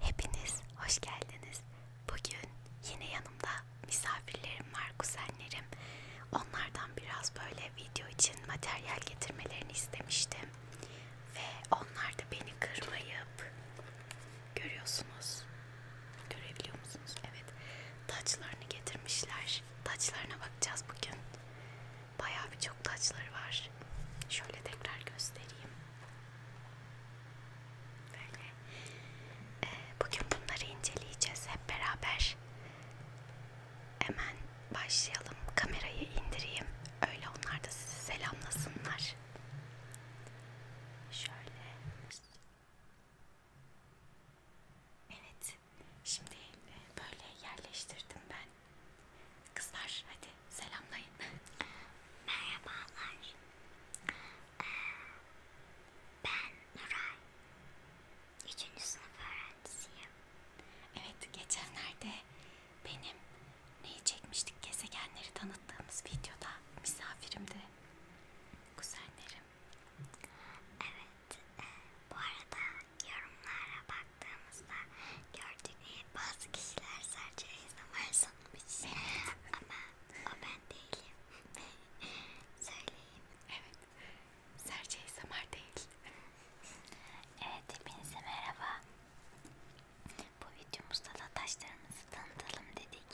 Hepiniz hoş geldiniz. Bugün yine yanımda misafirlerim var, kuzenlerim. Onlardan biraz böyle video için materyal getirmelerini istemiştim. Ve onlar da beni kırmayıp, görüyorsunuz, görebiliyor musunuz? Evet, taçlarını getirmişler. Taçlarına bakacağız bugün. Bayağı birçok taçları var. Şöyle tekrar göstereyim. Böyle. Ee, bugün bunları inceleyeceğiz hep beraber. Hemen başlayalım. Kamerayı indireyim. Öyle onlar da sizi selamlasınlar. Şöyle. Evet. Şimdi e, böyle yerleştirdim ben. Kızlar hadi Selamlayın. Merhabalar. Ee, ben Nuray. Üçüncü sınıf öğrencisiyim. Evet geçenlerde benim neyi çekmiştik gezegenleri tanıttığımız videoda misafirimdi. Kuzenlerim. Evet. E, bu arada yorumlara baktığımızda gördük ki bazı kişiler sadece ASMR sanmış. Ama o ben değilim. Söyleyeyim. Evet. Serçe Samar değil. evet hepinize ee, merhaba. Bu videomuzda da taşlarımızı tanıtalım dedik.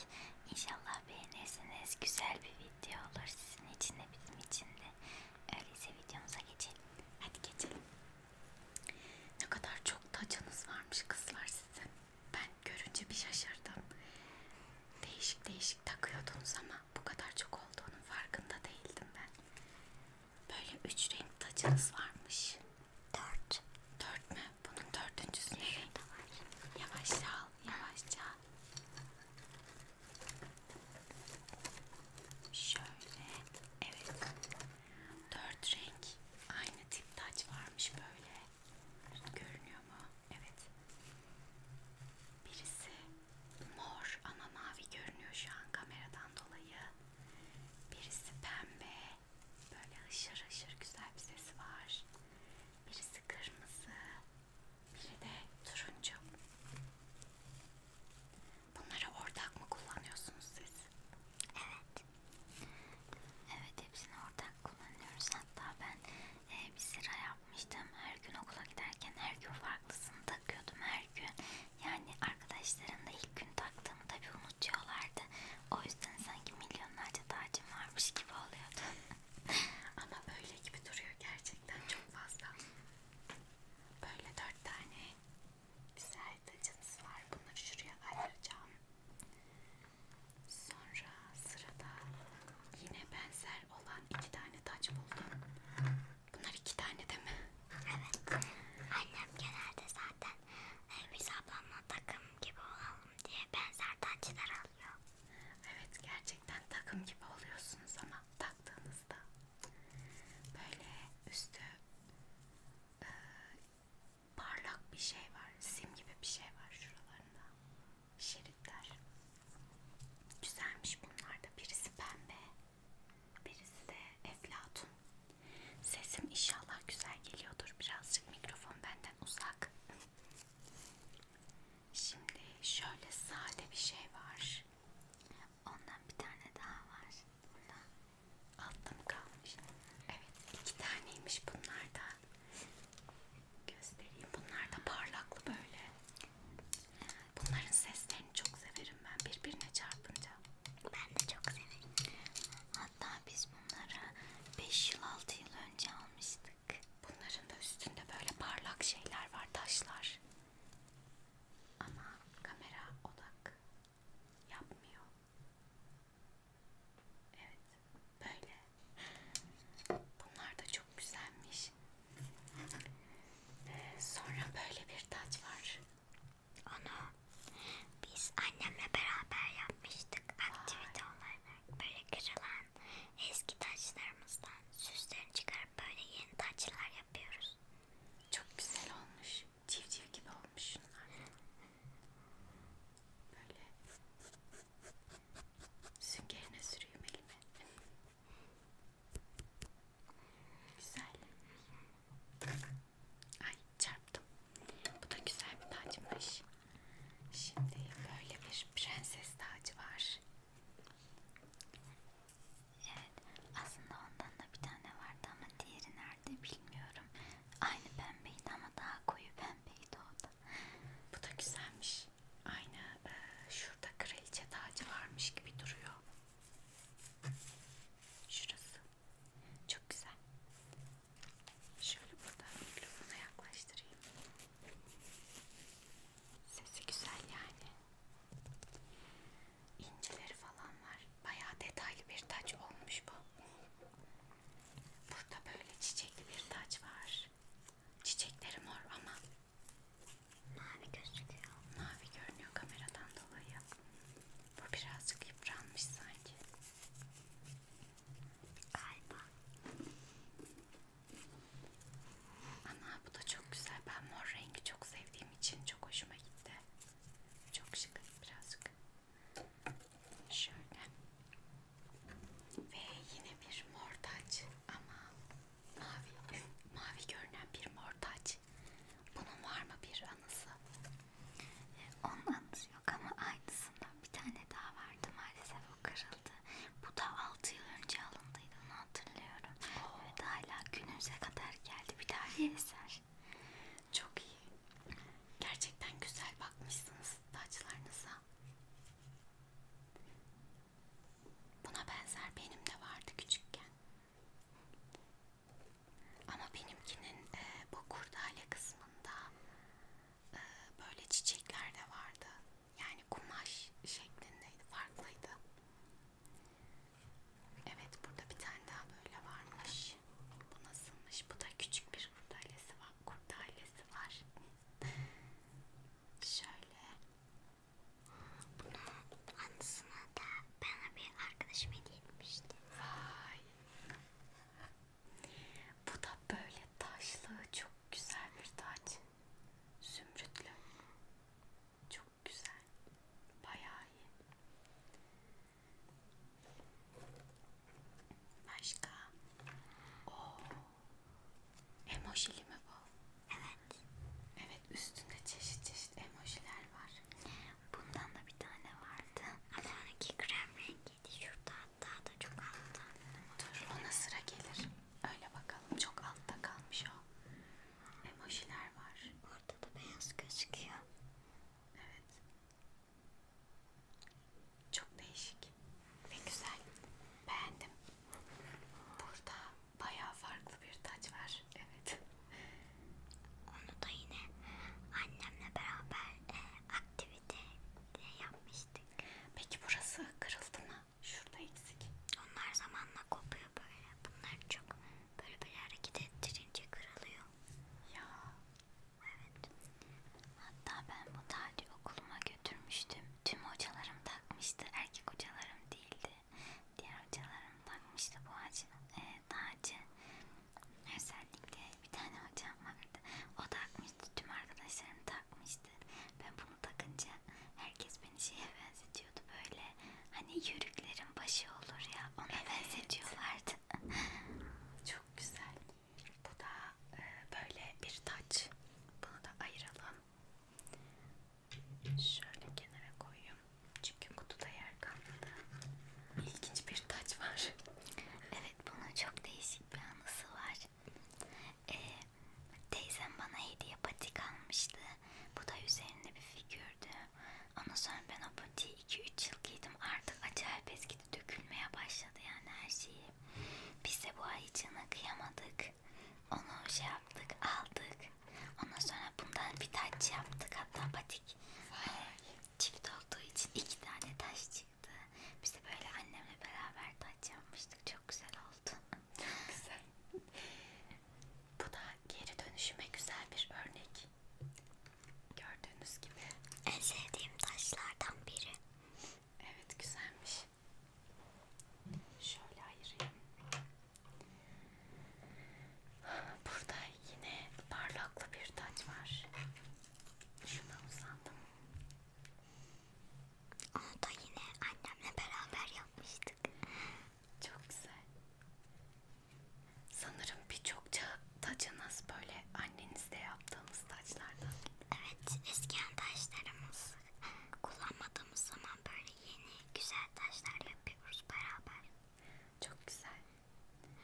İnşallah beğenirsiniz. Güzel bir video olur sizin için de bizim için de. Öyleyse videomuza geçelim. Hadi geçelim. Ne kadar çok tacanız varmış kızlar sizin. Ben görünce bir şaşırdım. Değişik değişik takıyordunuz ama bu kadar çok olduğunun farkında değildim ben. Böyle üç renk tacanız varmış. Dört. Dört mü? Bunun dördüncüsü ne renk? Yavaşça al, yavaşça al. Şöyle, evet. Dört renk aynı tip taç varmış böyle. Görünüyor mu? Evet. Birisi mor ama mavi görünüyor şu an kameradan dolayı. Birisi pembe. Böyle ışır ışır güzel bir sesi var. Birisi kırmızı. Biri de turuncu. Bunları ortak mı kullanıyorsunuz siz? Evet. Evet hepsini ortak kullanıyoruz. Hatta ben e, bir sıra yapmıştım. Her gün okula giderken her gün farklısını takıyordum her gün. Yani arkadaşlarım da ilk gün taktığımı tabi unutuyorlardı. O yüzden sanki milyonlarca tacım varmış gibi oluyordu. Ama öyle gibi duruyor gerçekten çok fazla. Böyle dört tane güzel fayda cinsi var. Bunları şuraya ayıracağım. Sonra sırada yine benzer olan iki tane taç buldum. Bunlar iki tane değil mi? Evet. Annem genelde zaten e, biz ablamla takım gibi olalım diye benzer taçlar alıyor. Evet gerçekten takım gibi oluyorsunuz ama taktığınızda böyle üstü e, parlak bir şey var. Sim gibi bir şey var şuralarında. Şeritler. Güzelmiş bunlar da. Birisi pembe. Birisi de eflatun. Sesim inşallah güzel geliyordur. Birazcık mikrofon benden uzak. Şimdi şöyle sade bir şey var. Ondan bir tane daha var. Bundan Altta mı kalmış? Evet iki taneymiş bunlar da. Göstereyim. Bunlar da parlaklı böyle. Bunların seslerini çok severim ben birbirine çarpınca. Ben de çok severim. Hatta biz bunları 5 yıl 6 yıl önce almıştık. Bunların da üstünde böyle parlak şeyler var taşlar. Ama kamera odak yapmıyor. Evet, böyle. Bunlar da çok güzelmiş. Ee, sonra böyle bir taç var. Onu biz annemle beraber yapmıştık aktivite olarak. Böyle kırılan eski taçlarımızdan süslerini çıkarıp böyle yeni taçlar yapıyoruz. Çok güzel olmuş. Civciv gibi olmuş yapmış şunlar. Böyle süngerine sürüyorum elime. Güzel. Ay çarptım. Bu da güzel bir tacmış. Şimdi böyle bir prenses tacı var. Evet. Aslında ondan da bir tane vardı ama diğeri nerede bilmiyorum. Aynı pembeydi ama daha koyu pembeydi o da. Bu da güzelmiş. Aynı e, şurada kraliçe tacı varmış gibi duruyor. Şurası. Çok güzel. Şöyle burada mikrofona yaklaştırayım. Sesi güzel yani. İncileri falan var. Bayağı detaylı bir taç olmuş bu. Burada böyle çiçekli bir taç var. Çiçekleri mor ama mavi gözüküyor. Mavi görünüyor kameradan dolayı. Bu birazcık yıpranmış sanki. Galiba. Ana bu da çok güzel. Ben mor rengi çok sevdiğim için çok hoşuma gitti. Çok şık birazcık. Şöyle. Ve yine bir mor taç ama mavi, mavi görünen bir mor taç. Bunun var mı bir anısı? E, Onun anısı yok ama aynısından bir tane daha vardı maalesef o kırıldı. Bu da 6 yıl önce alındıydı onu hatırlıyorum. Oh. Evet hala günümüze kadar geldi bir tane eser. Çok iyi. Gerçekten güzel bakmışsınız saçlarınıza. Buna benzer benim de vardı küçükken. Ama benimkinin e, bu kurdale kısmında e, böyle çiçekler de vardı. Yani kumaş şeklindeydi, farklıydı. Evet, burada bir tane daha böyle varmış. Bu nasılmış? Bu da küçük bir kurdelesi Tamam kurt ailesi var. Şöyle. Bunu anısına da bana bir arkadaşım hediye etmişti. Vay. Bu da böyle taşlı çok güzel bir taç. Zümrütlü. Çok güzel. Bayağı iyi. Başka? Oo. Emojili mi bu? Evet. Evet üstünde çeşit çeşit emojiler var. Bundan da bir tane vardı. Ama onunki krem rengiydi. Şurada hatta da çok altta. Dur ona sıra gelir. Öyle bakalım. Çok altta kalmış o. Emojiler var. Orada da beyaz gözüküyor. Evet. Çok değişik ve güzel. Beğendim. Burada bayağı farklı bir taç var. Evet. Onu da yine annemle beraber e, aktivite yapmıştık. Peki burası kırıldı mı? Şurada eksik. Onlar zamanla kopuyor böyle. Bunlar çok böyle böyle hareket ettirince kırılıyor. Ya Evet. Hatta ben bu tacı okuluma götürmüştüm. Tüm hocalarım takmıştı. Erkek hocalarım değildi. Diğer hocalarım takmıştı bu hacı, e, tacı. Özellikle bir tane hocam vardı. O takmıştı. Tüm arkadaşlarım takmıştı. Ben bunu takınca herkes beni şeye benzetiyordu. Böyle hani yörüklerin başı olur ya. Ona evet. benzetiyorlardı. Çok güzel. Bu da e, böyle bir taç. Bunu da ayıralım. Şöyle kenara koyayım. Çünkü kutuda yer kalmadı. İlginç bir taç var. Evet bunun çok değişik bir anısı var. Ee, teyzem bana hediye patik almıştı. Bu da üzerinde bir figürdü. Ondan sonra ben o patiği 2-3 yıl giydim. Artık acayip eski gitgide dökülmeye başladı yani her şeyi. Biz de bu ay canı kıyamadık. Onu şey yaptık, aldık. Ondan sonra bundan bir taç yaptık hatta patik. Vay. E, çift olduğu için iki tane taş çıktı. Biz de böyle annemle beraber taç yapmıştık. Çok güzel oldu. Çok güzel. Bu da geri dönüşüme güzel bir örnek. Gördüğünüz gibi. En sevdiğim taşlardan biri. Evet güzelmiş. Şöyle ayırayım. Burada yine parlaklı bir taç var. Şuna uzandım. Onu da yine annemle beraber yapmıştık. Çok güzel. Sanırım birçok çağ Tacınız böyle annenizde yaptığımız taçlardan. Evet eski taşlarımız kullanmadığımız zaman böyle yeni güzel taşlar yapıyoruz beraber. Çok güzel.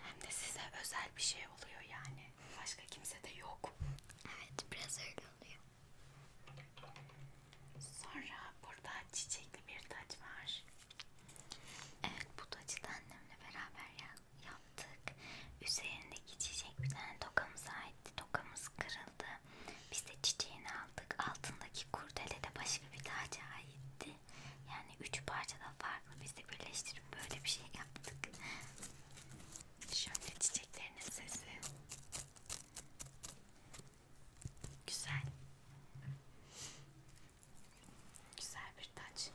Hem de size özel bir şey oluyor yani. Başka kimse de yok. Evet biraz öyle oluyor. Sonra burada çiçekli bir taç var. Evet bu tacı da annemle beraber ya yaptık. Üzerindeki çiçek bir tane tokamıza aitti. Tokamız kırıldı. Biz de çiçeğini aldık. Altındaki kurdele de başka bir taca aitti. Yani üç parçadan farklı. Biz de birleştirip böyle bir şey yaptık. Şöyle çiçeklerinin sesi. Güzel. Güzel bir taç.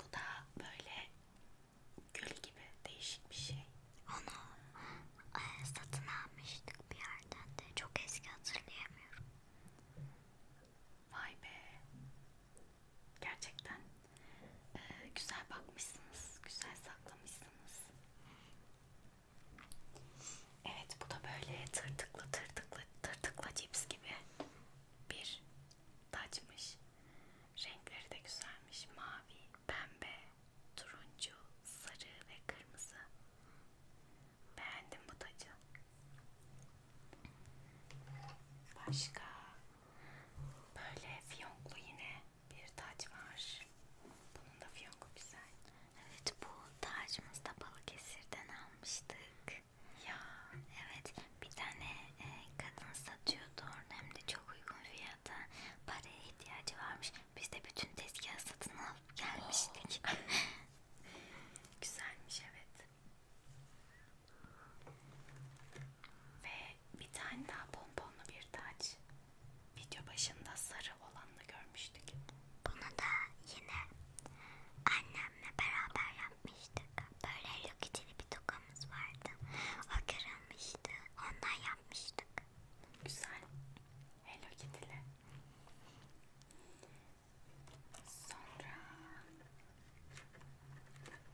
Bu da böyle gül gibi değişik bir şey. Onu e, satın almıştık bir yerden de çok eski hatırlayamıyorum. Vay be. Gerçekten e, güzel bakmışsınız, güzel saklamışsınız. Evet bu da böyle tırtıklı tırtıklı tırtıkla cips gibi bir taçmış. Renkleri de güzelmiş. Mavi, pembe, turuncu, sarı ve kırmızı. Beğendim bu tacı. Başka böyle fiyonklu yine bir taç var. Bunun da fiyonku güzel. Evet bu tacımızı da Balıkesir'den almıştık. Ya evet bir tane e, kadın satıyordu orada hem de çok uygun fiyata paraya ihtiyacı varmış. Biz de bütün tezgahı satın alıp gelmiştik. Oh. Güzelmiş evet. Ve bir tane daha pomponlu bir taç. Video başında sarı olanını görmüştük. Bunu da yine annemle beraber yapmıştık. Böyle lokitili bir toka odamız vardı. O kırılmıştı. Ondan yapmıştık. Güzel. Hello Kitty'li. Sonra...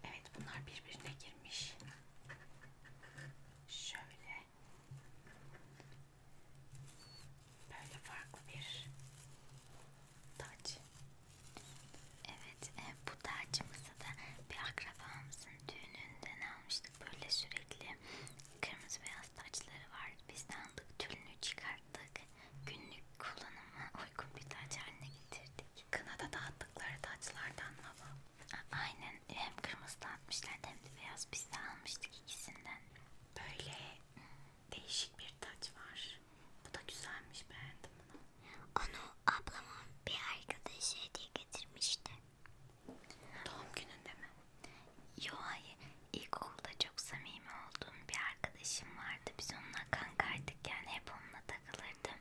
Evet bunlar birbirine girmiş. Şöyle. Böyle farklı bir Taç. Evet, e, bu tacımızı da bir akrabamızın düğününden almıştık. Böyle sürekli kırmızı beyaz taçları var. Biz de aldık, tülünü çıkarttık. Günlük kullanıma uygun bir taç haline getirdik. Kınada dağıttıkları taçlardan mı bu? A aynen, hem kırmızı dağıtmışlardı hem de beyaz. Biz de almıştık ikisinden. Böyle değişik bir taç var. Bu da güzelmiş beğendim bunu. Onu ablamın bir arkadaşı hediye getirmişti. Doğum gününde mi? Yo hayır. İlkokulda çok samimi olduğum bir arkadaşım vardı. Biz onunla kankaydık yani hep onunla takılırdım.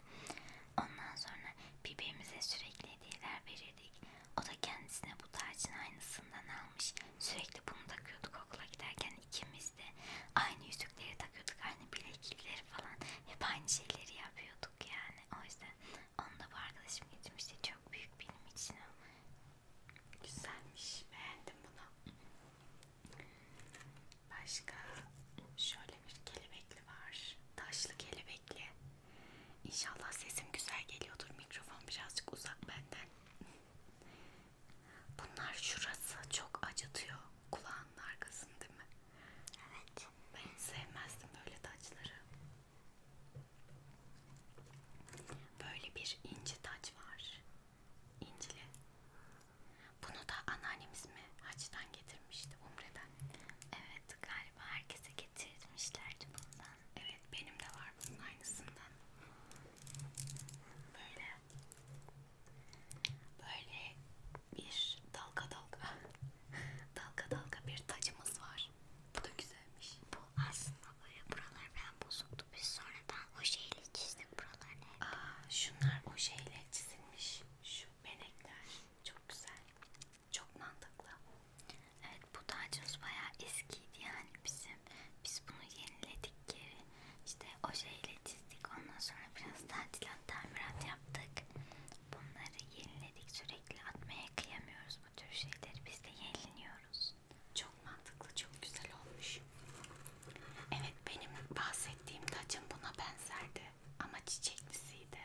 Ondan sonra birbirimize sürekli hediyeler verirdik. O da kendisine bu tacın aynısından almış. Sürekli bunu takıyorduk okula giderken yani ikimiz de aynı yüzükleri takıyorduk, aynı bileklikleri falan hep aynı şeyleri yapıyorduk yani. O yüzden onu da bu arkadaşım getirmişti. Çok büyük benim için o. Güzelmiş. Beğendim bunu. Başka şöyle bir kelebekli var. Taşlı kelebekli. İnşallah sesim güzel geliyordur. Mikrofon birazcık uzak benden. Bunlar şurası çok acıtıyor kulağın arkasını değil mi? Evet. Ben sevmezdim böyle taçları. Böyle bir inci taç var. İncili. Bunu da anneannemiz mi hacdan getirmişti, umreden. Evet, galiba herkese getirmişlerdi bundan. Evet, benim de var bunun aynısından. Böyle Böyle bir dalga dalga dalga dalga bir tacımız var. Bu da güzelmiş. Bu aslında böyle buralar ben bozuktu. Biz sonradan o şeyle çizdik buralarını hep. Aa, şunlar o şeyle çizilmiş. Şu benekler çok güzel. Çok mantıklı. Evet bu tacımız bayağı eskiydi yani bizim. Biz bunu yeniledik geri. İşte ojeyle çizdik. Ondan sonra biraz tadilat tamirat yaptık. Bunları yeniledik. Sürekli atmaya kıyamıyoruz bu tür şeyleri. Biz de yeniliyoruz. Çok mantıklı, çok güzel olmuş. Evet benim bahsettiğim tacım buna benzerdi. Ama çiçeklisiydi.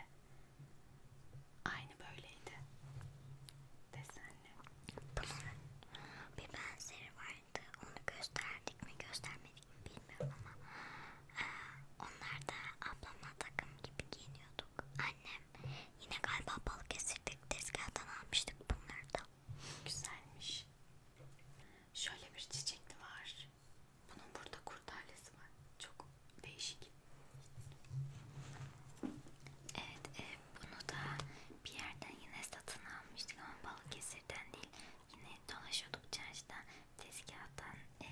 Aynı böyleydi. Desenli. Bunun bir benzeri vardı. Onu gösterdik mi göstermedik bilmiyorum ama onlar da ablamla takım gibi giyiniyorduk. Annem yine galiba balık esirdik tezgahtan almıştık bunları da. Güzelmiş. Şöyle bir çiçek de var. Bunun burada kurtarlesi var. Çok değişik. Evet, e, bunu da bir yerden yine satın almıştık ama Balıkesir'den değil. Yine dolaşıyorduk çarşıda tezgahtan e,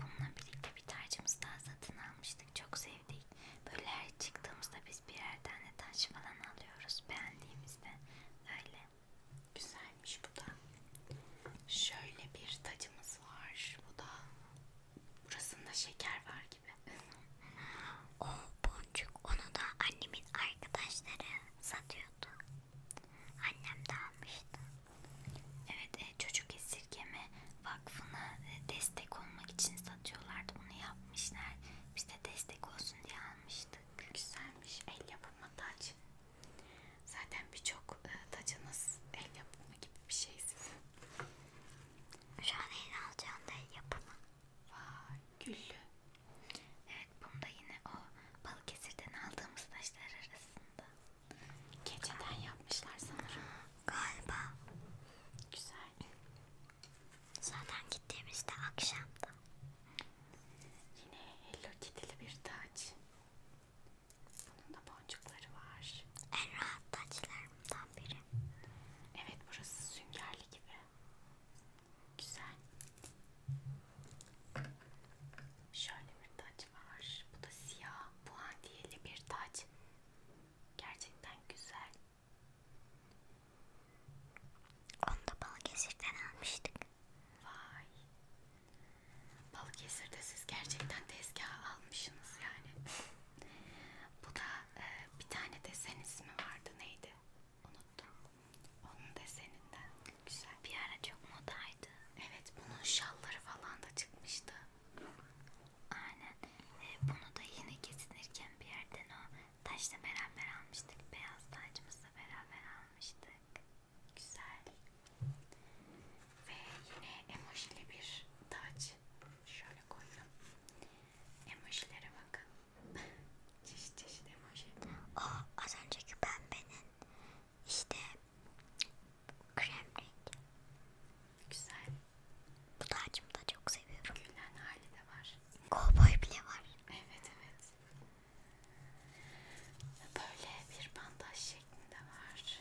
bununla birlikte bir tarçımızı daha satın almıştık. Çok sevdik. Böyle her çıktığımızda biz birer tane taş falan alıyoruz. Beğendiğimizde öyle. Güzelmiş bu da. Şöyle bir tacımız var. Bu da burasında şeker var gibi. o boncuk onu da annemin arkadaşları satıyordu annem de almıştı. Evet e, çocuk esirgeme vakfına e, destek olmak için satıyorlardı bunu yapmışlar. Biz de destek olsun diye almıştık. Güzelmiş el yapımı taç. Zaten birçok e, tacınız el yapımı gibi bir şey sizin. Şu an el alacağım da el yapımı. Vay güllü. Evet bunda yine o Balıkesir'den aldığımız taşlar aslında. Keçeden yapmışlar sanırım. Galiba. Güzel. Zaten gittiğimizde akşamda. Yine Hello Kitty'li bir taç. Bunun da boncukları var. En rahat taçlarımdan biri. Evet burası süngerli gibi. Güzel. Şöyle bir taç var. Bu da siyah puantiyeli bir taç. Gerçekten güzel. Onu da Balıkesir'den almıştık. Vay. Balıkesir'de siz gerçekten tezgah almışsınız yani. Bu da e, bir tane desen ismi vardı neydi? Unuttum. Onun deseninden. Güzel. Bir ara çok modaydı. Evet bunun şalları falan da çıkmıştı. Aynen. Ee, bunu da yine kesinirken bir yerden o taşla beraber almıştık. Beyaz tacımızla beraber almıştık. Güzel. Ve yine emojili bir taç. Şöyle koydum. Emojilere bakın. çeşit çeşit emoji. O az önceki pembenin işte Krem rengi. Güzel. Bu tacımı da çok seviyorum. Gülen hali de var. Kovboy bile var. Evet evet. Böyle bir bandaj şeklinde var.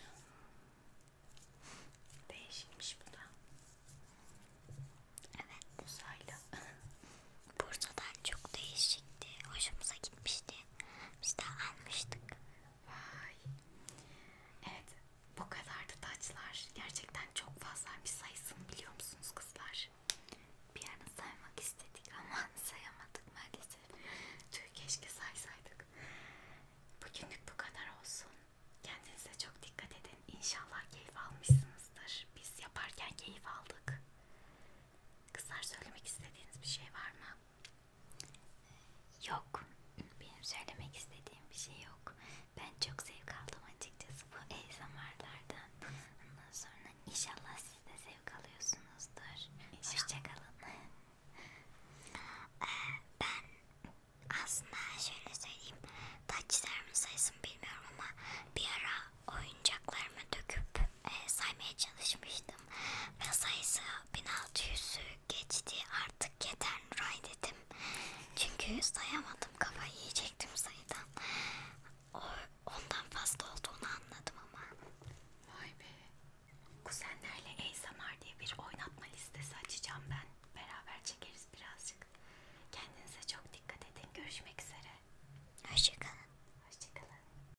Değişikmiş bu da. Evet. Uzaylı. Bursa'dan çok değişikti. Hoşumuza gitmişti ki. Biz de almıştık. Vay. Evet bu kadardı taçlar. Gerçekten çok fazla bir sayısını biliyor musunuz kızlar? Bir ara saymak istedik ama sayamadık maalesef. Tüh keşke saysaydık. Bugünlük bu kadar olsun. Kendinize çok dikkat edin. İnşallah keyif almışsınızdır. Biz yaparken keyif aldık. Kızlar söylemek istediğiniz bir şey var mı? Yok. Benim söylemek istediğim bir şey yok. Ben çok zevk aldım açıkçası bu ASMR'lardan. Ondan sonra inşallah siz de zevk alıyorsunuzdur. Hoşçakalın. Ee, ben aslında şöyle söyleyeyim. Taçlarımın sayısını bilmiyorum ama bir ara oyuncaklarımı döküp e, saymaya çalışmıştım ve sayısı 1600'ü geçti artık yeter Nuray dedim çünkü sayamadım kafayı yiyecektim sayıdan o, ondan fazla olduğunu anladım ama vay be kuzenlerle ASMR diye bir oynatma listesi açacağım ben beraber çekeriz birazcık kendinize çok dikkat edin görüşmek üzere hoşçakalın hoşçakalın